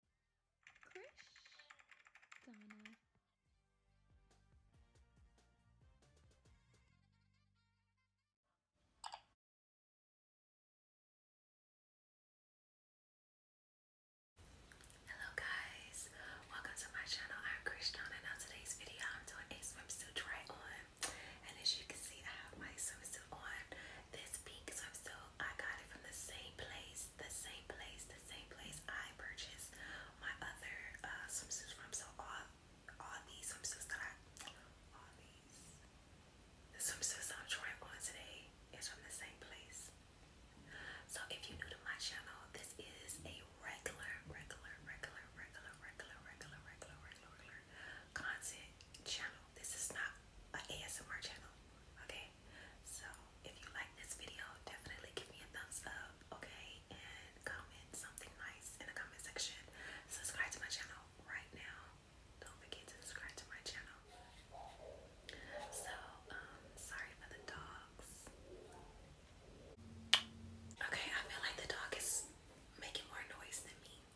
Krish Donna. Hello guys, welcome to my channel. I'm Krish Donna. Now today's video I'm doing a swimsuit try on and as you can see I have my swimsuit on. This pink swimsuit, I got it from the same place, the same place, the same place I purchased my other uh, swimsuits from. So all, all these swimsuits that I, all these, the swimsuits I'm trying on today is from the same place. So if you're new to my channel, this is a regular, regular, regular, regular, regular, regular, regular, regular, regular content channel. This is not an ASMR channel. Okay, okay so if you like this video definitely give me a thumbs up okay and comment something nice in the comment section subscribe to my channel right now don't forget to subscribe to my channel so um, sorry for the dogs okay I feel like the dog is making more noise than me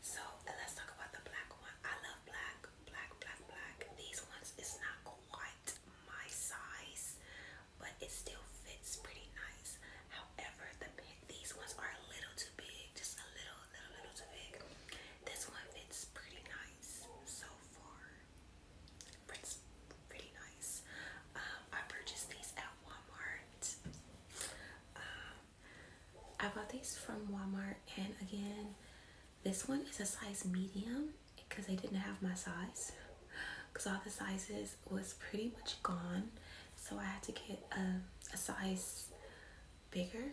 So let's talk about the black one. I love black, black, black, black. These ones it's not quite my size, but it still fits pretty nice. However, the these ones are a little too big, just a little, little, little too big. This one fits pretty nice so far. It's pretty nice. Um, I purchased these at Walmart. Um, I bought these from Walmart, and again, this one is a size medium because they didn't have my size because all the sizes was pretty much gone. So I had to get a, a size bigger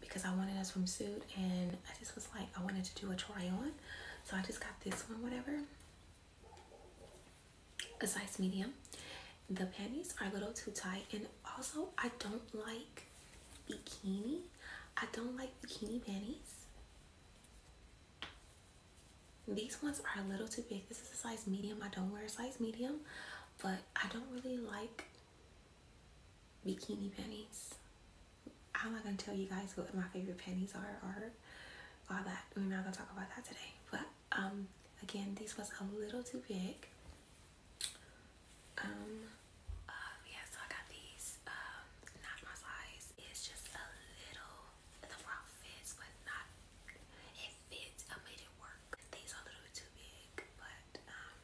because I wanted a swimsuit and I just was like, I wanted to do a try on. So I just got this one, whatever a size medium. The panties are a little too tight, and also I don't like bikini. I don't like bikini panties. These ones are a little too big. This is a size medium. I don't wear a size medium, but I don't really like bikini panties. I'm not gonna tell you guys what my favorite panties are Are all that. We're not gonna talk about that today. But um, again, this was a little too big. Um, uh, yeah, I got these. Um, not my size. It's just a little. The bra fits, but not. It fits. I made it work. These are a little too big, but um,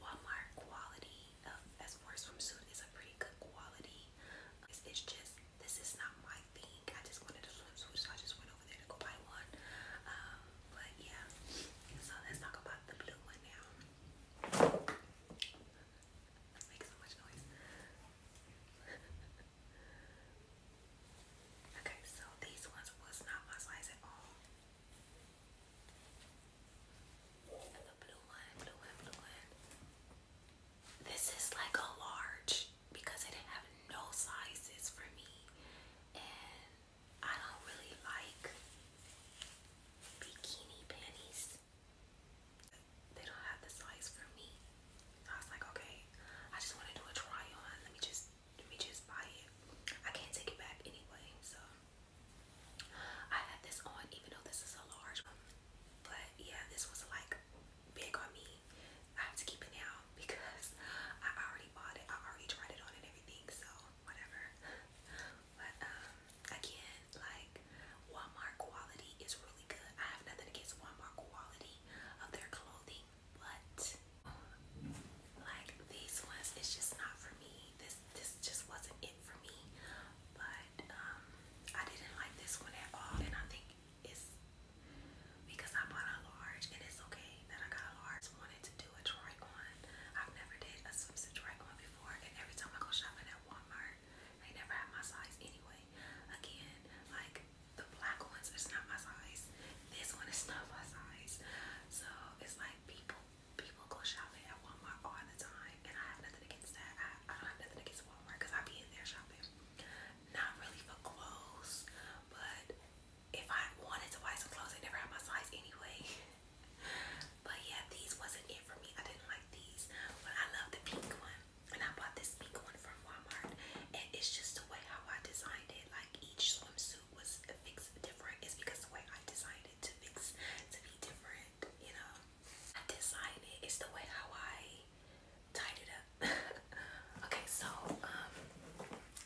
Walmart quality uh, as far as swimsuit is a pretty good quality. it's just this is not my thing. I just wanted to swimsuit, so I just went over there to go buy one. Um, but yeah, so let's talk about the blue one now. okay, so these ones was not my size at all. And the blue one, blue one, blue one. This is like a large because it didn't have no sizes for me, and I don't really like bikini panties. They don't have the size for me. I was like, okay, I just want to do a try on. Let me just let me just buy it. I can't take it back anyway, so I had this on even though this is a large one. But yeah, this was like big on me. I have to keep it now because I already bought it. I already tried it on and everything, so whatever. But um again, like Walmart quality is really good. I have nothing against Walmart quality of their clothing, but like these ones, it's just not for me. This this just wasn't it for me. But um I didn't like this one at all, and I think it's because I bought a large, it's okay that I got a large. wanted to do a try-on. I've never did a swimsuit try-on before, and every time I go shopping at Walmart, they never have my size anyway. Again, like the black ones, it's not my size. This one is not my size. So it's like people, people go shopping at Walmart all the time, and I have nothing against that. I, I don't have nothing against Walmart because I be in there shopping not really for clothes, but if I wanted to buy some clothes, I never had my size anyway. but yeah, these wasn't it for me. I didn't like these, but I love the pink one. And I bought this pink one from Walmart, and it's just the way how I designed it. Like each swimsuit was fixed different. It's because the way I designed it to fix to be different you know. I design it, it's the way how I tied it up. okay, so um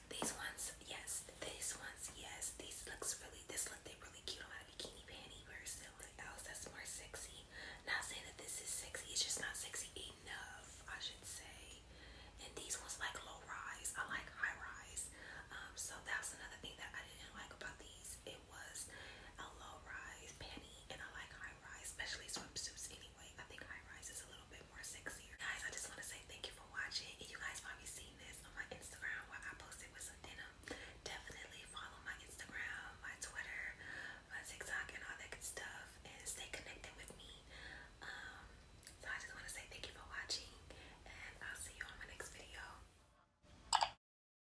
these ones, yes, these ones, yes, these looks really this look they really cute on my bikini panty versus something else that's more sexy. Not saying that this is sexy, it's just not sexy enough, I should say. And these ones like low rise, I like high rise. Um, so that's another thing that I didn't like about these was a low-rise panty, and I like high-rise, especially swimsuits anyway. I think high-rise is a little bit more sexier. Guys, I just want to say thank you for watching, you guys probably seen this on my Instagram where I posted with some denim. Definitely follow my Instagram, my Twitter, my TikTok, and all that good stuff, and stay connected with me. Um, so I just want to say thank you for watching, and I'll see you on my next video.